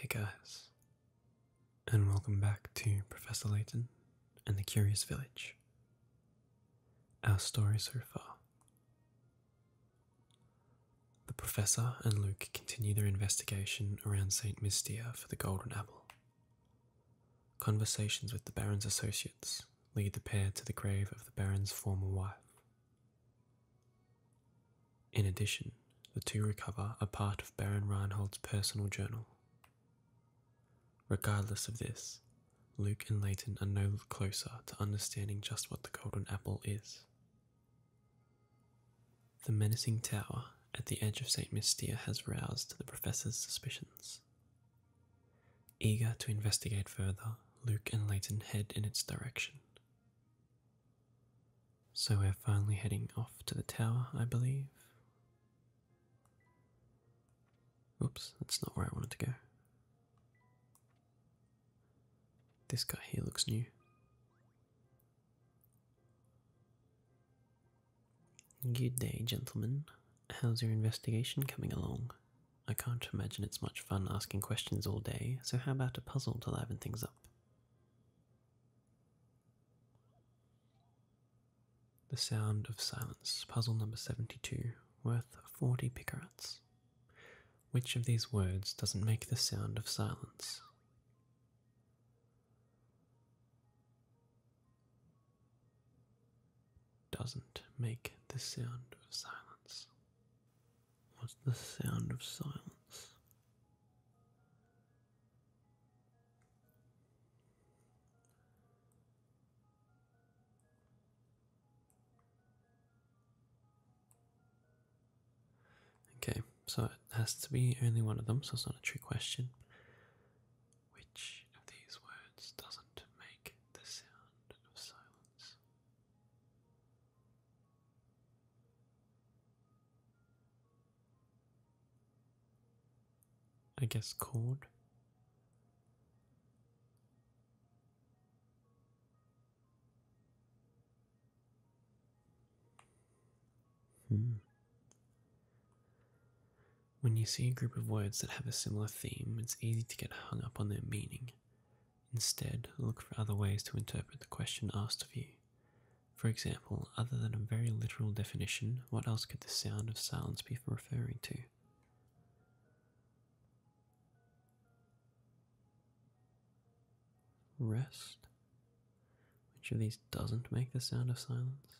Hey guys, and welcome back to Professor Layton and the Curious Village. Our story so far. The professor and Luke continue their investigation around St. Mystia for the Golden Apple. Conversations with the Baron's associates lead the pair to the grave of the Baron's former wife. In addition, the two recover a part of Baron Reinhold's personal journal. Regardless of this, Luke and Layton are no closer to understanding just what the Golden Apple is, the menacing tower at the edge of St. Mystia has roused the professor's suspicions. Eager to investigate further, Luke and Leighton head in its direction. So we're finally heading off to the tower, I believe. Oops, that's not where I wanted to go. This guy here looks new. Good day, gentlemen. How's your investigation coming along? I can't imagine it's much fun asking questions all day, so how about a puzzle to liven things up? The Sound of Silence, puzzle number 72, worth 40 picarats. Which of these words doesn't make the sound of silence? doesn't make the sound of silence. What's the sound of silence? Okay, so it has to be only one of them, so it's not a trick question. Which of these words doesn't make the sound of silence? I guess chord. Hmm. When you see a group of words that have a similar theme, it's easy to get hung up on their meaning. Instead, look for other ways to interpret the question asked of you. For example, other than a very literal definition, what else could the sound of silence be referring to? Rest? Which of these doesn't make the sound of silence?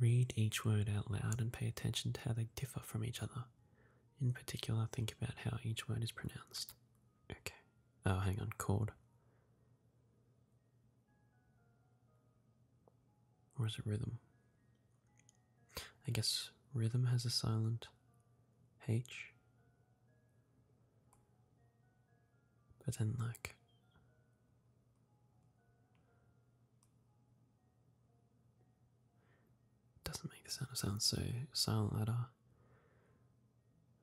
Read each word out loud and pay attention to how they differ from each other. In particular, think about how each word is pronounced. Okay. Oh, hang on. Chord. Where's the rhythm? I guess rhythm has a silent H. But then, like. Doesn't make the sound of sound so silent letter.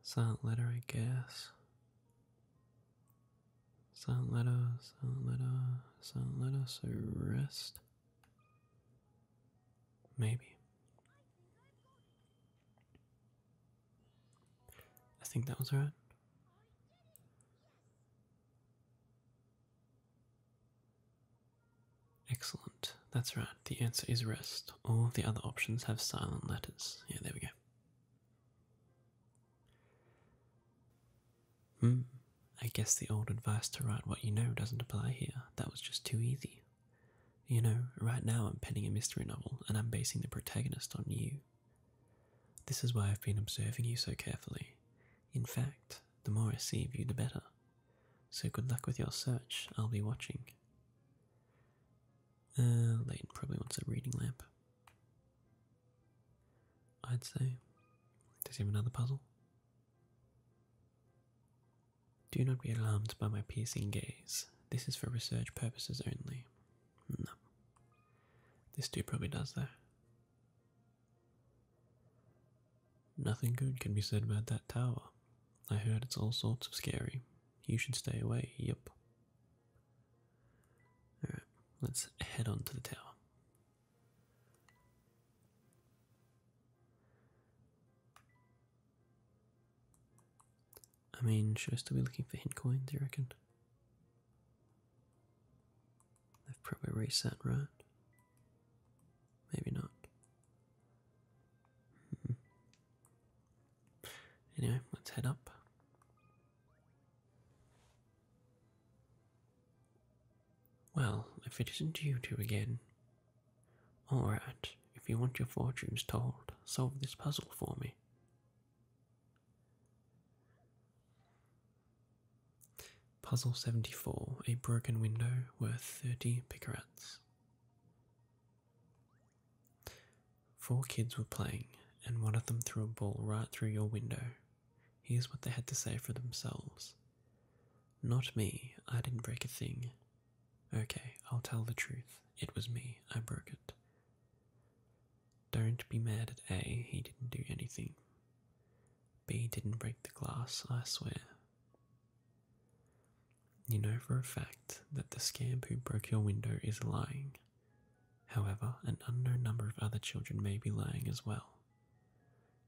Silent letter, I guess. Silent letters, silent letters, silent letters so rest. Maybe. I think that was right. Excellent. That's right. The answer is rest. All the other options have silent letters. Yeah, there we go. Hmm. I guess the old advice to write what you know doesn't apply here. That was just too easy. You know, right now I'm penning a mystery novel and I'm basing the protagonist on you. This is why I've been observing you so carefully. In fact, the more I see of you, the better. So good luck with your search. I'll be watching. Uh, Leighton probably wants a reading lamp. I'd say. Does he have another puzzle? Do not be alarmed by my piercing gaze. This is for research purposes only. No. Hmm. This dude probably does though. Nothing good can be said about that tower. I heard it's all sorts of scary. You should stay away, yep. Alright, let's head on to the tower. I mean, should I still be looking for hint coins, do you reckon? They've probably reset, right? Maybe not. Hmm. Anyway, let's head up. Well, if it isn't you two again. Alright, if you want your fortunes told, solve this puzzle for me. Puzzle 74 A broken window worth 30 picarats. Four kids were playing, and one of them threw a ball right through your window. Here's what they had to say for themselves Not me, I didn't break a thing. Okay, I'll tell the truth. It was me, I broke it. Don't be mad at A, he didn't do anything. B didn't break the glass, I swear. You know for a fact that the scamp who broke your window is lying. However, an unknown number of other children may be lying as well.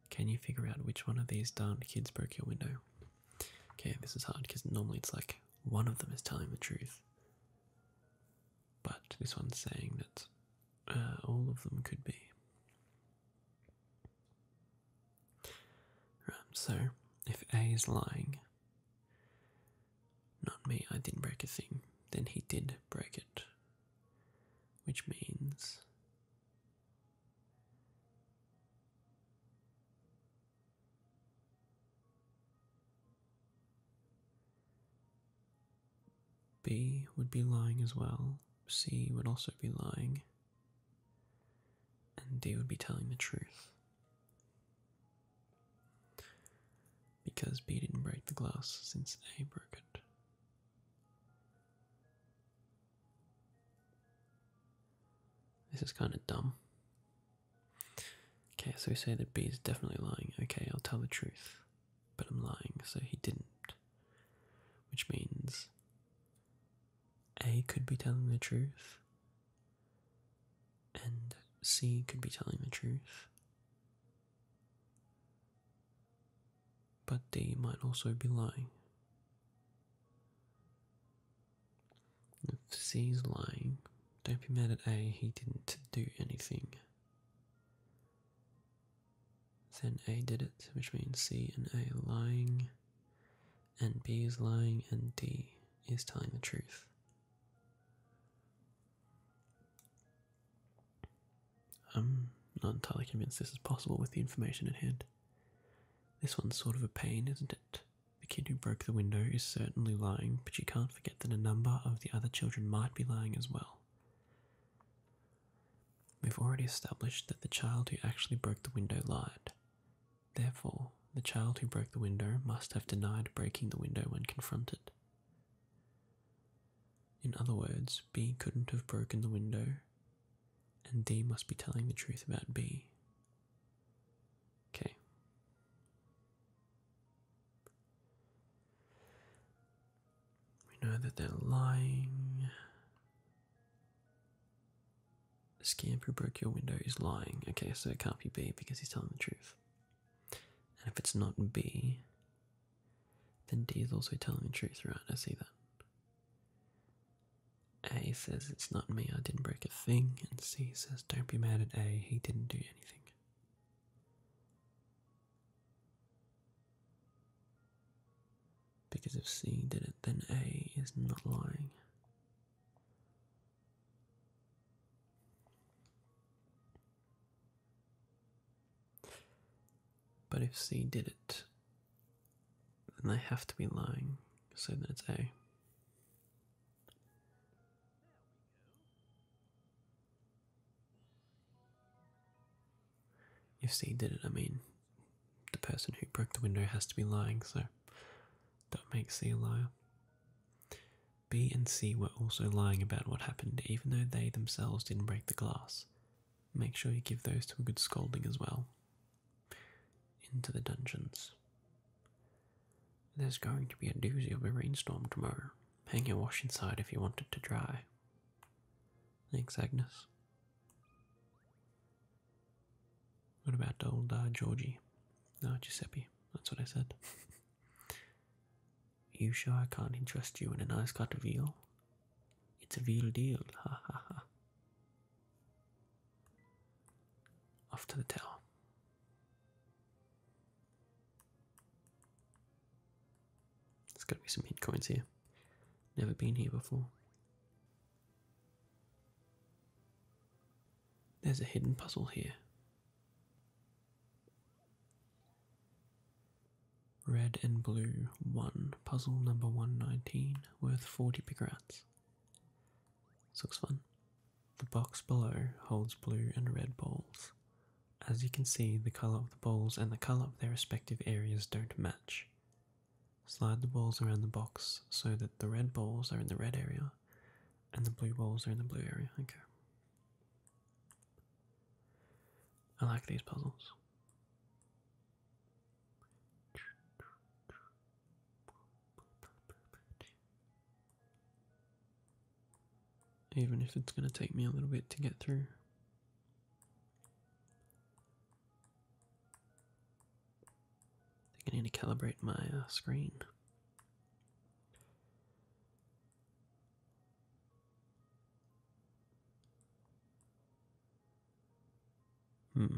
Can you figure out which one of these darned kids broke your window? Okay, this is hard because normally it's like one of them is telling the truth. But this one's saying that uh, all of them could be so if A is lying, not me, I didn't break a thing, then he did break it, which means. B would be lying as well. C would also be lying and they would be telling the truth. Because B didn't break the glass since A broke it. This is kind of dumb. Okay, so we say that B is definitely lying. Okay, I'll tell the truth. But I'm lying, so he didn't. Which means a could be telling the truth, and C could be telling the truth, but D might also be lying. If C is lying, don't be mad at A, he didn't do anything. Then A did it, which means C and A lying and B is lying, and D is telling the truth. I'm not entirely convinced this is possible with the information at hand. This one's sort of a pain, isn't it? The kid who broke the window is certainly lying, but you can't forget that a number of the other children might be lying as well. We've already established that the child who actually broke the window lied. Therefore, the child who broke the window must have denied breaking the window when confronted. In other words, B couldn't have broken the window, and D must be telling the truth about B. Okay. We know that they're lying. Scamp who broke your window is lying. Okay, so it can't be B because he's telling the truth. And if it's not B, then D is also telling the truth, right? I see that. A says it's not me, I didn't break a thing. And C says don't be mad at A, he didn't do anything. Because if C did it, then A is not lying. But if C did it, then they have to be lying, so then it's A. If C did it, I mean, the person who broke the window has to be lying, so that makes C a liar. B and C were also lying about what happened, even though they themselves didn't break the glass. Make sure you give those to a good scolding as well. Into the dungeons. There's going to be a doozy of a rainstorm tomorrow. Hang your wash inside if you want it to dry. Thanks, Agnes. What about old uh, Georgie? No, uh, Giuseppe. That's what I said. you sure I can't interest you in a nice cut of veal? It's a real deal. Ha ha ha. Off to the tower. It's going to be some hit coins here. Never been here before. There's a hidden puzzle here. Red and blue 1, puzzle number 119, worth 40 pigrats. This looks fun. The box below holds blue and red balls. As you can see, the colour of the balls and the colour of their respective areas don't match. Slide the balls around the box so that the red balls are in the red area and the blue balls are in the blue area. Okay. I like these puzzles. Even if it's going to take me a little bit to get through. I think I need to calibrate my uh, screen. Hmm.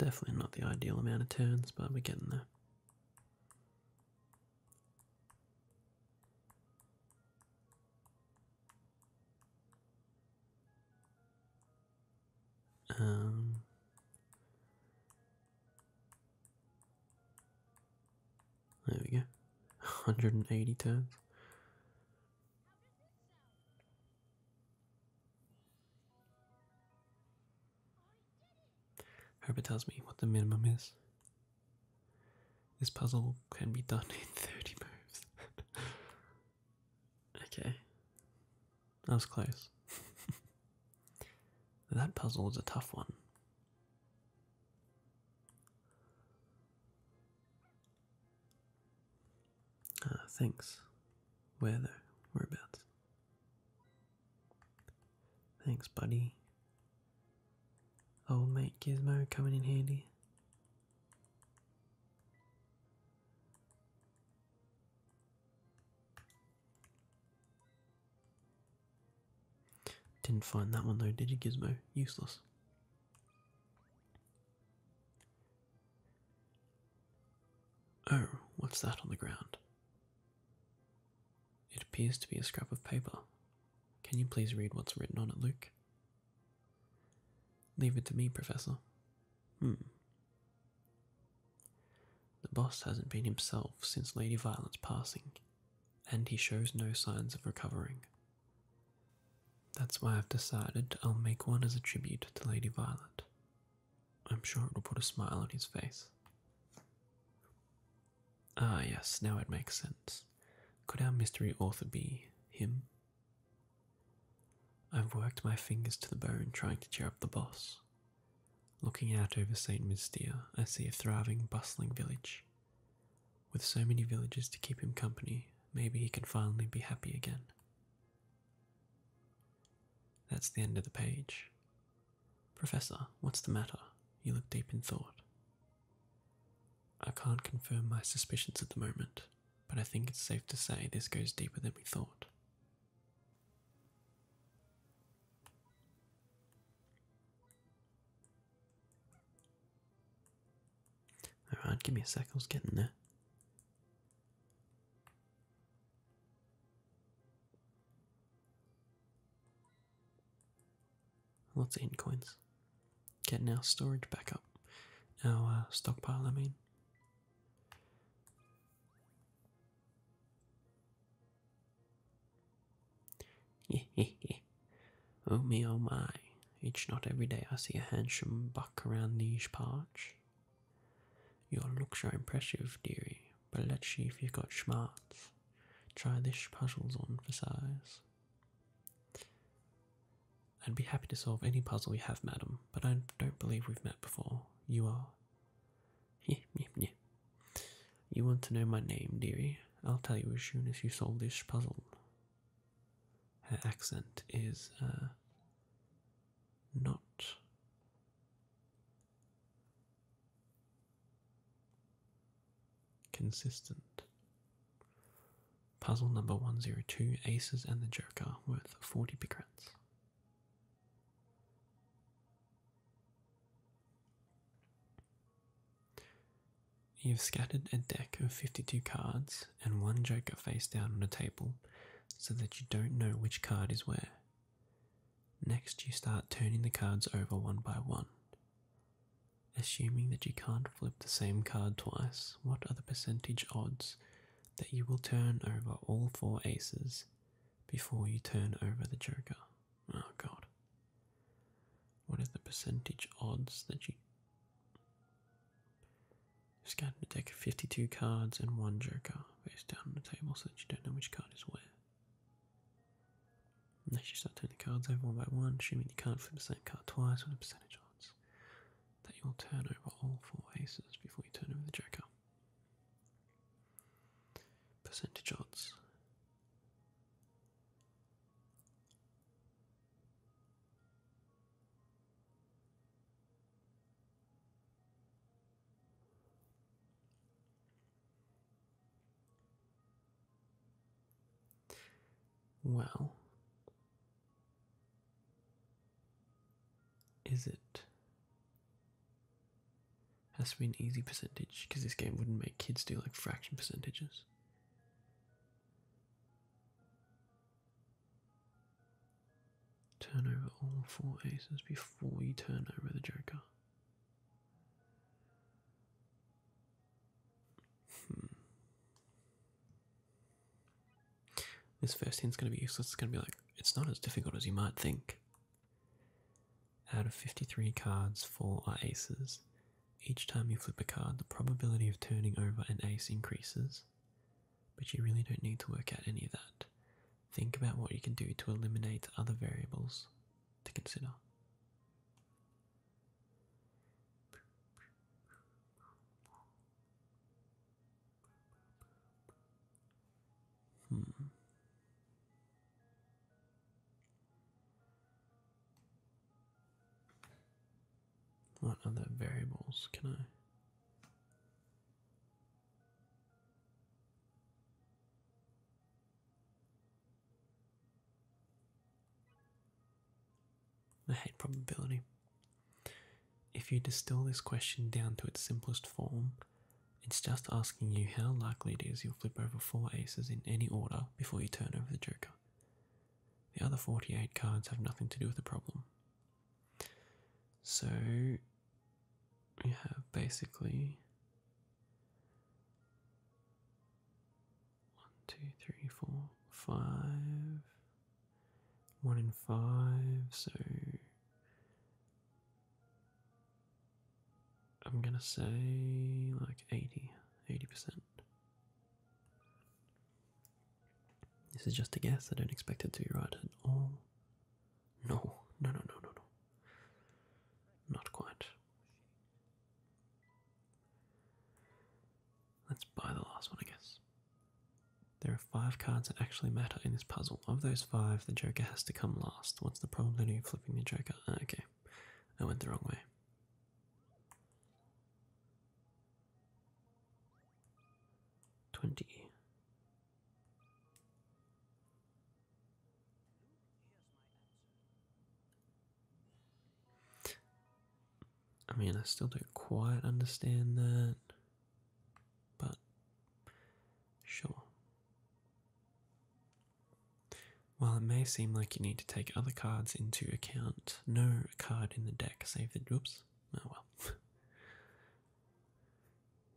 Definitely not the ideal amount of turns, but we're getting there. Um, there we go. 180 turns. Herbert tells me what the minimum is. This puzzle can be done in 30 moves. okay. That was close. that puzzle was a tough one. Ah, thanks. Where though? Whereabouts? Thanks, buddy. Old mate Gizmo coming in handy. Didn't find that one though, did Gizmo? Useless. Oh, what's that on the ground? It appears to be a scrap of paper. Can you please read what's written on it, Luke? Leave it to me, Professor. Hmm. The boss hasn't been himself since Lady Violet's passing, and he shows no signs of recovering. That's why I've decided I'll make one as a tribute to Lady Violet. I'm sure it will put a smile on his face. Ah, yes, now it makes sense. Could our mystery author be him? I've worked my fingers to the bone trying to cheer up the boss. Looking out over St. Mystia, I see a thriving, bustling village. With so many villages to keep him company, maybe he can finally be happy again. That's the end of the page. Professor, what's the matter? You look deep in thought. I can't confirm my suspicions at the moment, but I think it's safe to say this goes deeper than we thought. Alright, give me a sec, I was getting there. Lots of ink coins. Getting our storage back up. Our uh, stockpile, I mean. oh me, oh my. Each not every day I see a handsome buck around these parts. Your looks are impressive, dearie, but let's see if you've got smarts. Try this puzzles on for size. I'd be happy to solve any puzzle you have, madam, but I don't believe we've met before. You are. You want to know my name, dearie? I'll tell you as soon as you solve this puzzle. Her accent is, uh, not Consistent. Puzzle number 102 Aces and the Joker, worth 40 picrats. You've scattered a deck of 52 cards and one joker face down on a table so that you don't know which card is where. Next, you start turning the cards over one by one. Assuming that you can't flip the same card twice, what are the percentage odds that you will turn over all four aces before you turn over the joker? Oh god. What is the percentage odds that you. Scatter a deck of 52 cards and one joker face down on the table so that you don't know which card is where. Unless you start turning the cards over one by one, assuming you can't flip the same card twice with the percentage odds, that you'll turn over all four aces before you turn over the joker. Percentage odds. Well, is it? Has to be an easy percentage because this game wouldn't make kids do like fraction percentages. Turn over all four aces before you turn over the joker. Hmm. This first hint's going to be useless. It's going to be like, it's not as difficult as you might think. Out of 53 cards, 4 are aces. Each time you flip a card, the probability of turning over an ace increases, but you really don't need to work out any of that. Think about what you can do to eliminate other variables to consider. Hmm. What other variables can I? I hate probability. If you distill this question down to its simplest form, it's just asking you how likely it is you'll flip over four aces in any order before you turn over the joker. The other 48 cards have nothing to do with the problem. So, you have basically one, two, three, four, five. One in five, so I'm gonna say like 80, 80%. This is just a guess, I don't expect it to be right at all. no, no, no, no, no. Not quite. Let's buy the last one, I guess. There are five cards that actually matter in this puzzle. Of those five, the Joker has to come last. What's the probability of flipping the Joker? Ah, okay, I went the wrong way. Twenty. I mean, I still don't quite understand that, but sure. While it may seem like you need to take other cards into account, no card in the deck save the droops. Oh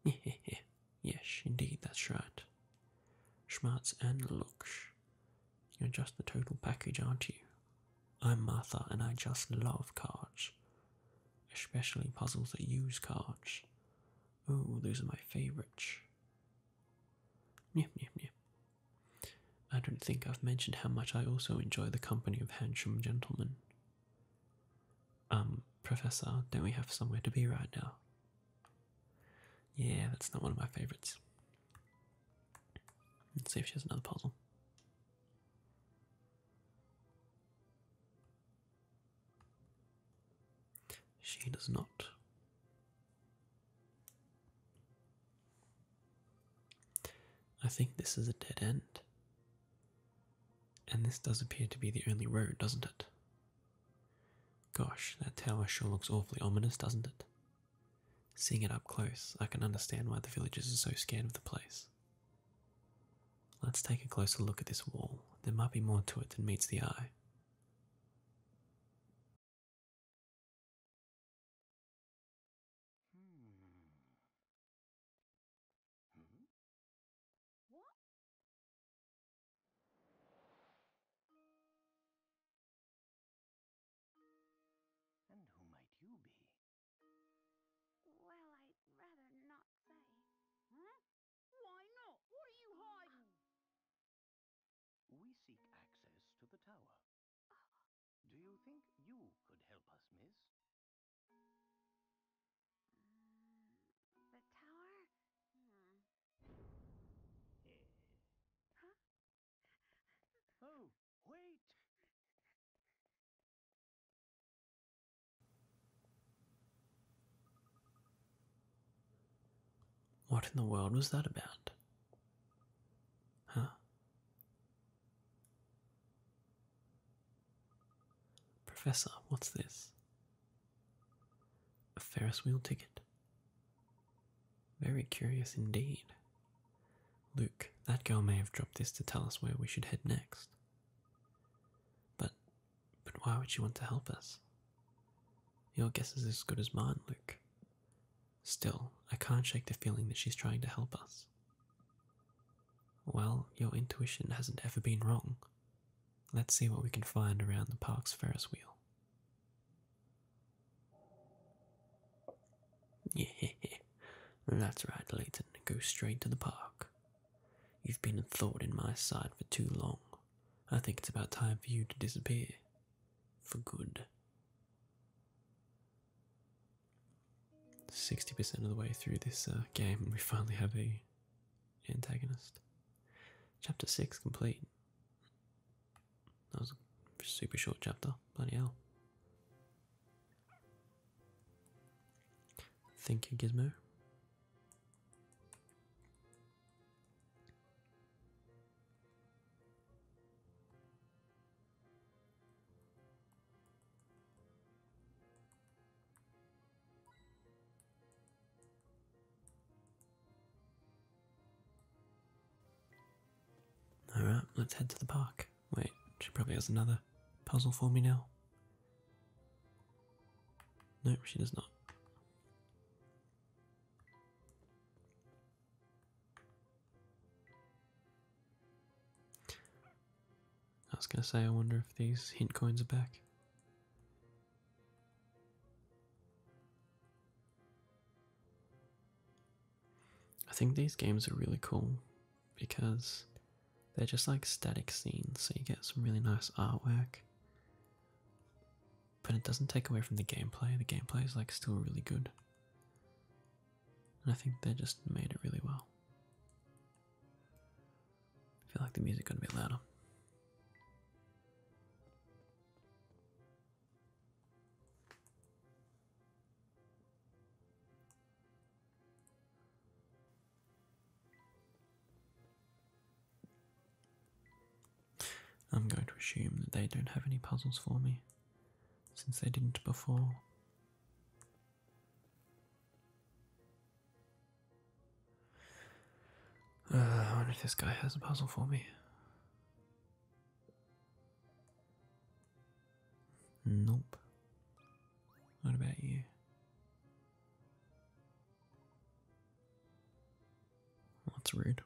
well. Yes, indeed, that's right. Schmatz and Lux. You're just the total package, aren't you? I'm Martha, and I just love cards. Especially puzzles that use cards. Oh, those are my favourites. Yep, yep, yep. I don't think I've mentioned how much I also enjoy the company of handsome gentlemen. Um, Professor, don't we have somewhere to be right now? Yeah, that's not one of my favorites. Let's see if she has another puzzle. She does not. I think this is a dead end. And this does appear to be the only road, doesn't it? Gosh, that tower sure looks awfully ominous, doesn't it? Seeing it up close, I can understand why the villagers are so scared of the place. Let's take a closer look at this wall. There might be more to it than meets the eye. Hmm. Hmm. And who might you be? Well, I'd rather not say. Huh? Why not? What are you oh, hiding? We seek access to the tower. Do you oh. think you could help us, miss? Mm, the tower? Hmm. Oh, wait! What in the world was that about? Huh? Professor, what's this? A Ferris wheel ticket. Very curious indeed. Luke, that girl may have dropped this to tell us where we should head next. But, but why would she want to help us? Your guess is as good as mine, Luke. Still, I can't shake the feeling that she's trying to help us. Well, your intuition hasn't ever been wrong, Let's see what we can find around the park's Ferris wheel. Yeah, that's right, Leighton. Go straight to the park. You've been a thorn in my side for too long. I think it's about time for you to disappear. For good. 60% of the way through this uh, game, and we finally have a antagonist. Chapter 6 complete. That was a super short chapter. Bloody hell. Thank you, Gizmo. Alright, let's head to the park. Wait, she probably has another puzzle for me now. No, she does not. I was gonna say, I wonder if these hint coins are back. I think these games are really cool because they're just like static scenes, so you get some really nice artwork. But it doesn't take away from the gameplay. The gameplay is like still really good. And I think they just made it really well. I feel like the music gonna be louder. I'm going to assume that they don't have any puzzles for me, since they didn't before. Uh, I wonder if this guy has a puzzle for me. Nope. What about you? that's rude.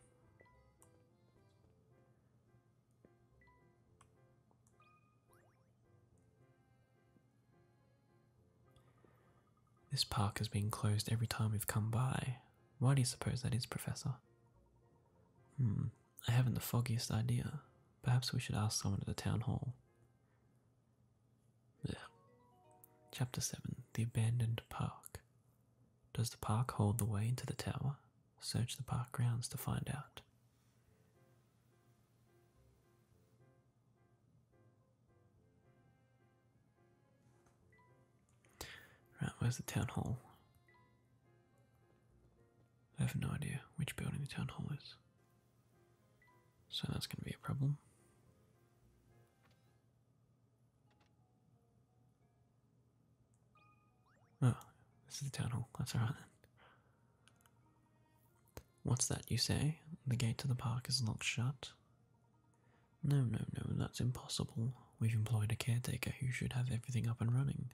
This park has been closed every time we've come by. Why do you suppose that is, Professor? Hmm, I haven't the foggiest idea. Perhaps we should ask someone at the town hall. Chapter 7 The Abandoned Park. Does the park hold the way into the tower? Search the park grounds to find out. Right, where's the town hall? I have no idea which building the town hall is. So that's going to be a problem. Oh, this is the town hall. That's right then. What's that you say? The gate to the park is locked shut. No, no, no, that's impossible. We've employed a caretaker who should have everything up and running.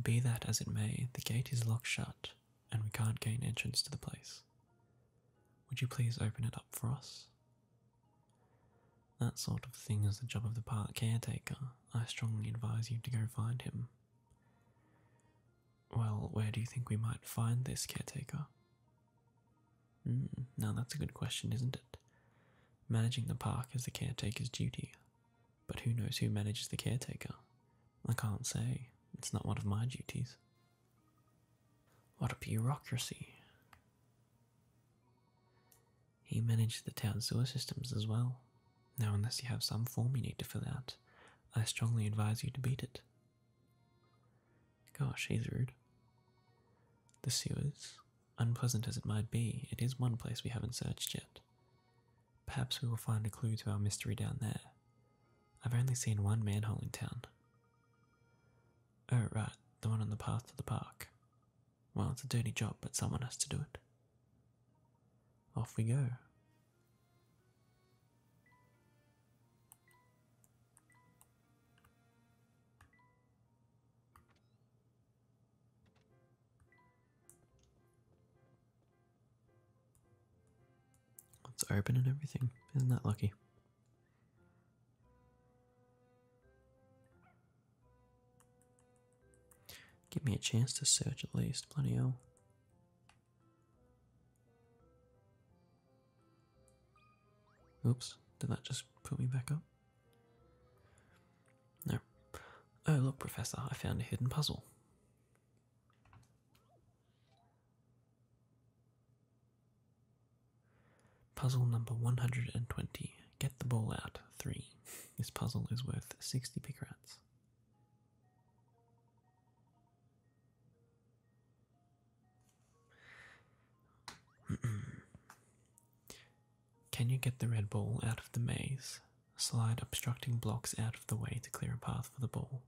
Be that as it may, the gate is locked shut, and we can't gain entrance to the place. Would you please open it up for us? That sort of thing is the job of the park caretaker. I strongly advise you to go find him. Well, where do you think we might find this caretaker? Mm, now that's a good question, isn't it? Managing the park is the caretaker's duty, but who knows who manages the caretaker? I can't say, it's not one of my duties. What a bureaucracy! He managed the town sewer systems as well. Now, unless you have some form you need to fill out, I strongly advise you to beat it. Gosh, he's rude. The sewers, unpleasant as it might be, it is one place we haven't searched yet. Perhaps we will find a clue to our mystery down there. I've only seen one manhole in town. Oh, right, the one on the path to the park. Well, it's a dirty job, but someone has to do it. Off we go. It's open and everything. Isn't that lucky? Give me a chance to search at least, Plenty hell. Oops, did that just put me back up? No. Oh, look, Professor, I found a hidden puzzle. Puzzle number 120. Get the ball out. 3. This puzzle is worth 60 pick rats. Can you get the red ball out of the maze? Slide obstructing blocks out of the way to clear a path for the ball.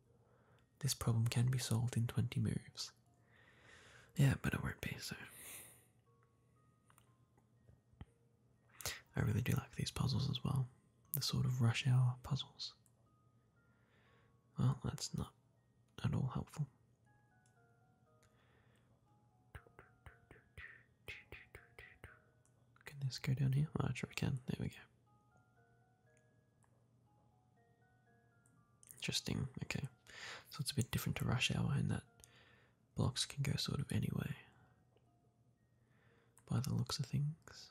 This problem can be solved in 20 moves. Yeah, but it won't be, so. I really do like these puzzles as well. The sort of rush hour puzzles. Well, that's not at all helpful. Can this go down here? Oh, sure I can. There we go. Interesting. Okay. So it's a bit different to rush hour in that blocks can go sort of anyway. By the looks of things.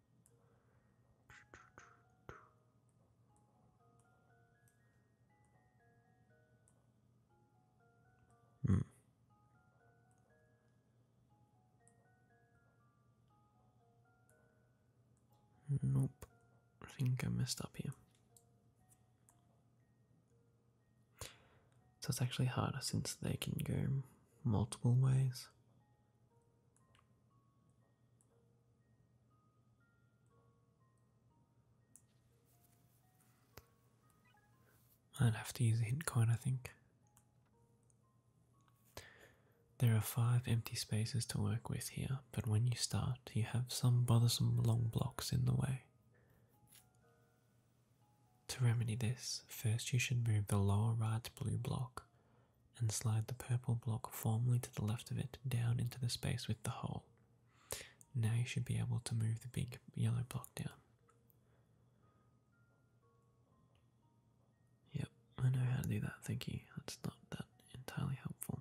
Hmm. Nope. I think I messed up here. So it's actually harder since they can go multiple ways i will have to use a hint coin, I think. There are five empty spaces to work with here, but when you start, you have some bothersome long blocks in the way. To remedy this, first you should move the lower right blue block and slide the purple block formerly to the left of it down into the space with the hole. Now you should be able to move the big yellow block down. Yep, I know how to do that, thank you. That's not that entirely helpful.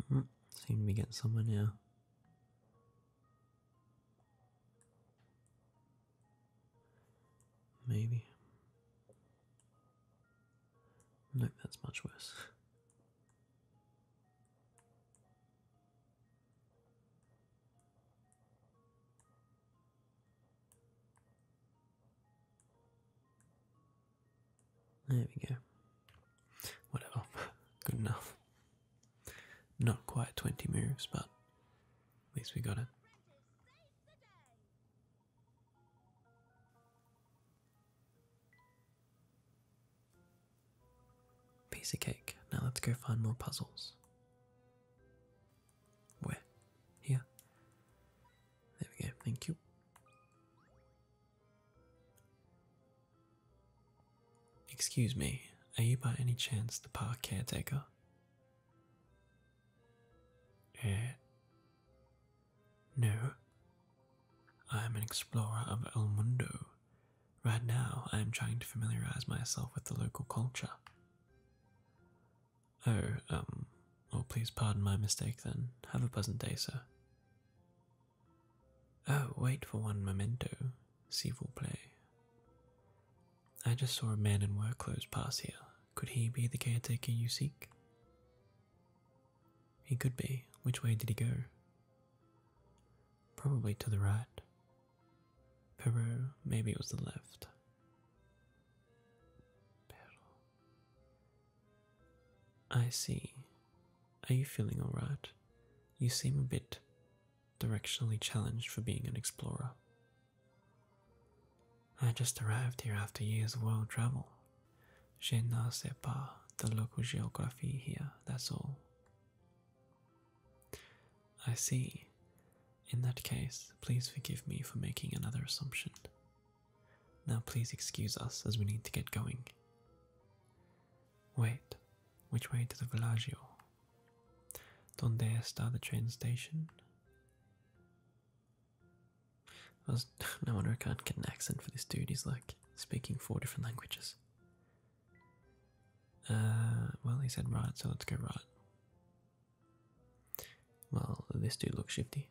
-hmm. Seem to be getting somewhere here. Maybe. Nope, that's much worse. There we go. Whatever. Good enough. Not quite 20 moves, but at least we got it. Piece of cake. Now let's go find more puzzles. Where? Here. There we go, thank you. Excuse me, are you by any chance the park caretaker? Uh, no. I am an explorer of El Mundo. Right now, I am trying to familiarize myself with the local culture. Oh, um, Oh, please pardon my mistake then. Have a pleasant day, sir. Oh, wait for one memento, s'il vous plaît. I just saw a man in work clothes pass here. Could he be the caretaker you seek? He could be. Which way did he go? Probably to the right. Peru, maybe it was the left. Pero. I see. Are you feeling alright? You seem a bit directionally challenged for being an explorer. I just arrived here after years of world travel. Je ne sais pas the local geography here, that's all. I see. In that case, please forgive me for making another assumption. Now please excuse us as we need to get going. Wait, which way to the Villaggio? Donde está the train station? Was, no wonder I can't get an accent for this dude, he's like speaking four different languages. Uh, well, he said right, so let's go right. Well, this dude looks shifty.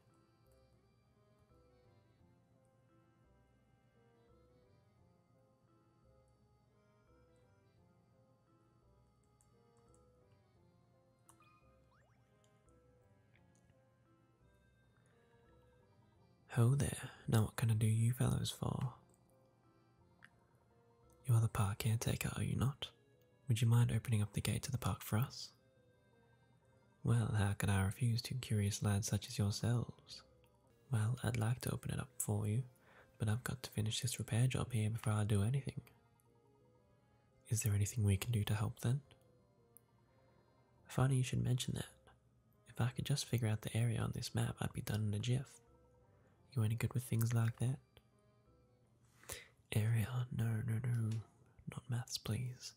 Ho there, now what can I do you fellows for? You are the park caretaker, are you not? Would you mind opening up the gate to the park for us? Well, how can I refuse two curious lads such as yourselves? Well, I'd like to open it up for you, but I've got to finish this repair job here before I do anything. Is there anything we can do to help then? Funny you should mention that. If I could just figure out the area on this map, I'd be done in a jiff. You any good with things like that? Area? No, no, no. Not maths, please.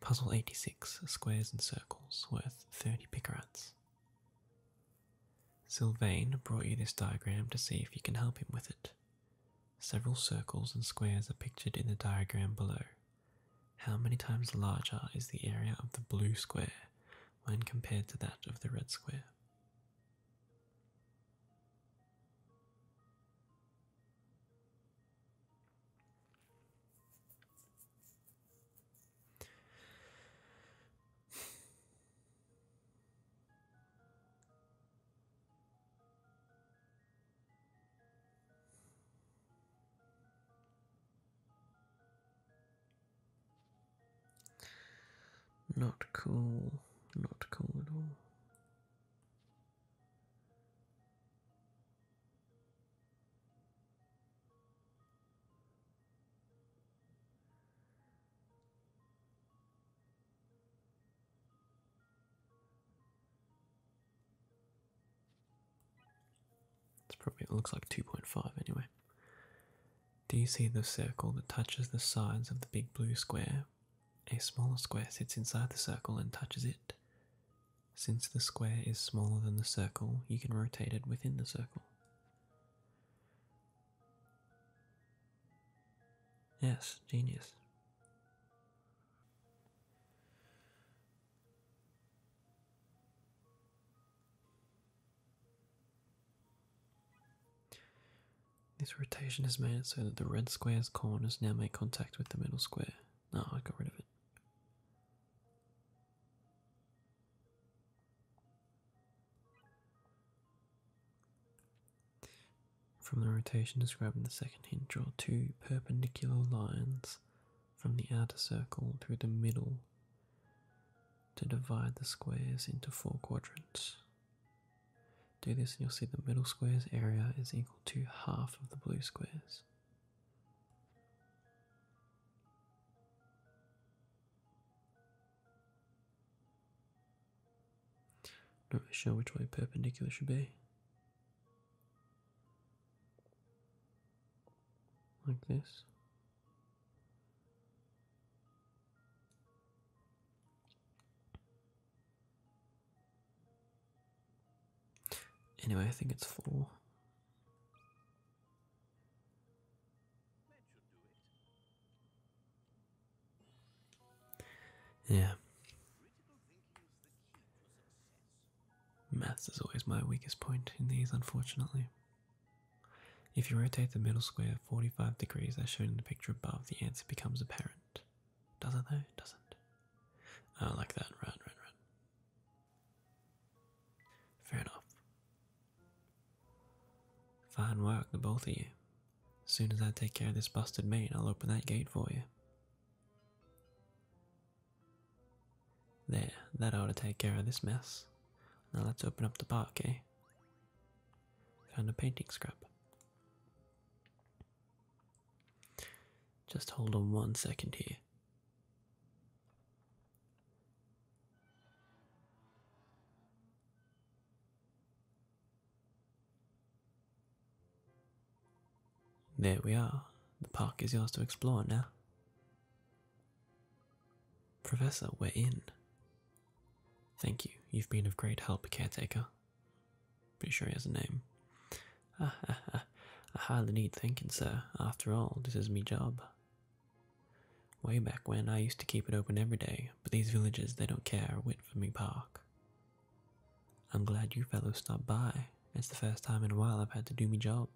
Puzzle 86 Squares and Circles, worth 30 pickerats. Sylvain brought you this diagram to see if you can help him with it. Several circles and squares are pictured in the diagram below. How many times larger is the area of the blue square when compared to that of the red square? Not cool, not cool at all. It's probably it looks like 2.5 anyway. Do you see the circle that touches the sides of the big blue square a smaller square sits inside the circle and touches it. Since the square is smaller than the circle, you can rotate it within the circle. Yes, genius. This rotation has made so that the red square's corners now make contact with the middle square. No, I got rid of it. From the rotation described in the second hint, draw two perpendicular lines from the outer circle through the middle to divide the squares into four quadrants. Do this and you'll see the middle square's area is equal to half of the blue squares. Not really sure which way perpendicular should be. Like this. Anyway, I think it's four. Yeah. Maths is always my weakest point in these, unfortunately. If you rotate the middle square 45 degrees, as shown in the picture above, the answer becomes apparent. Does it though? Doesn't. Oh, I like that. Right, right, right. Fair enough. Fine work, the both of you. As soon as I take care of this busted mate, I'll open that gate for you. There, that ought to take care of this mess. Now let's open up the park, eh? Found a painting scrap. Just hold on one second here. There we are. The park is yours to explore now. Professor, we're in. Thank you. You've been of great help, caretaker. Pretty sure he has a name. Ah, I hardly need thinking, sir. After all, this is me job. Way back when, I used to keep it open every day, but these villagers, they don't care a whit for me park. I'm glad you fellows stopped by. It's the first time in a while I've had to do me job.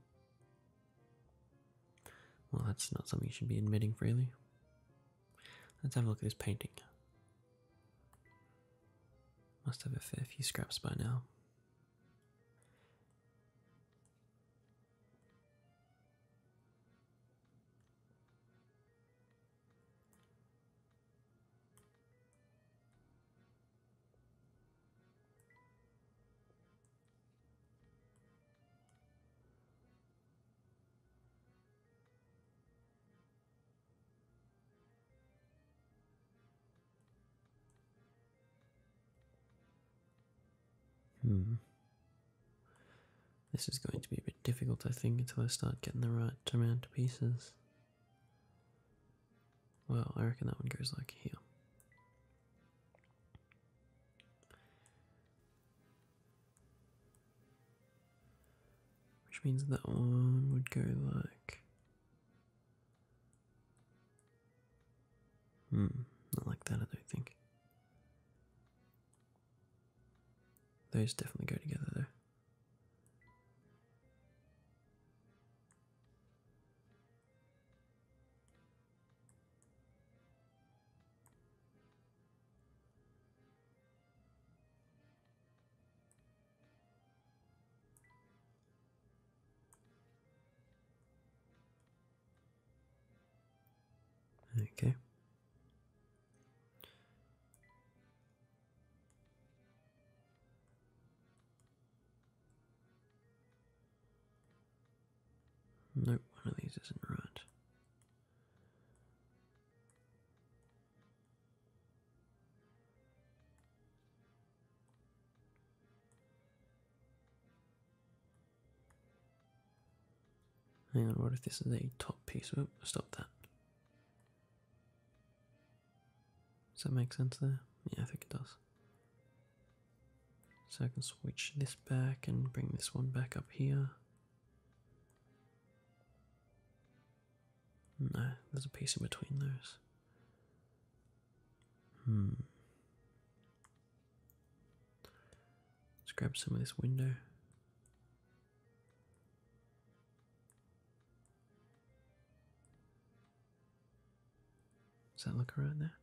Well, that's not something you should be admitting freely. Let's have a look at this painting. Must have a fair few scraps by now. Hmm. This is going to be a bit difficult, I think, until I start getting the right amount of pieces. Well, I reckon that one goes like here. Which means that one would go like. Hmm, not like that, I don't think. Those definitely go together, though. Okay. Nope, one of these isn't right. Hang on, what if this is a top piece? Oop, stop that. Does that make sense there? Yeah, I think it does. So I can switch this back and bring this one back up here. No, there's a piece in between those. Hmm. Let's grab some of this window. Does that look around there?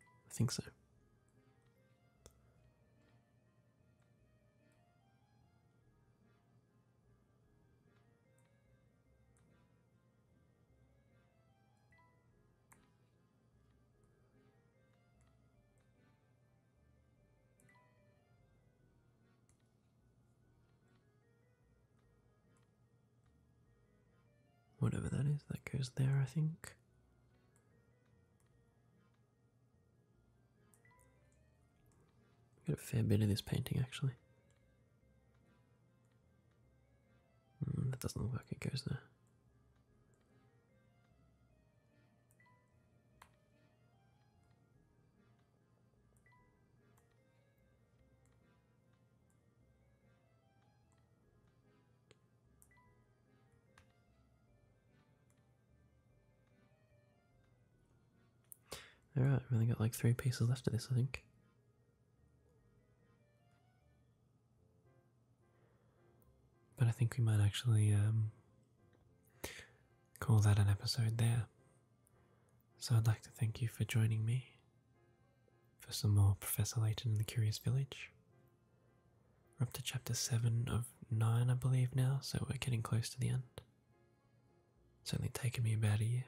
I think so. Whatever that is, that goes there, I think i got a fair bit of this painting actually. Hmm, that doesn't look like it goes there. Alright, I've only got like three pieces left of this, I think. But I think we might actually um, call that an episode there. So I'd like to thank you for joining me for some more Professor Layton in the Curious Village. We're up to chapter 7 of 9, I believe, now, so we're getting close to the end. It's only taken me about a year.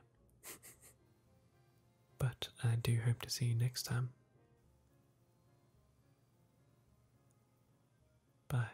but I do hope to see you next time. Bye.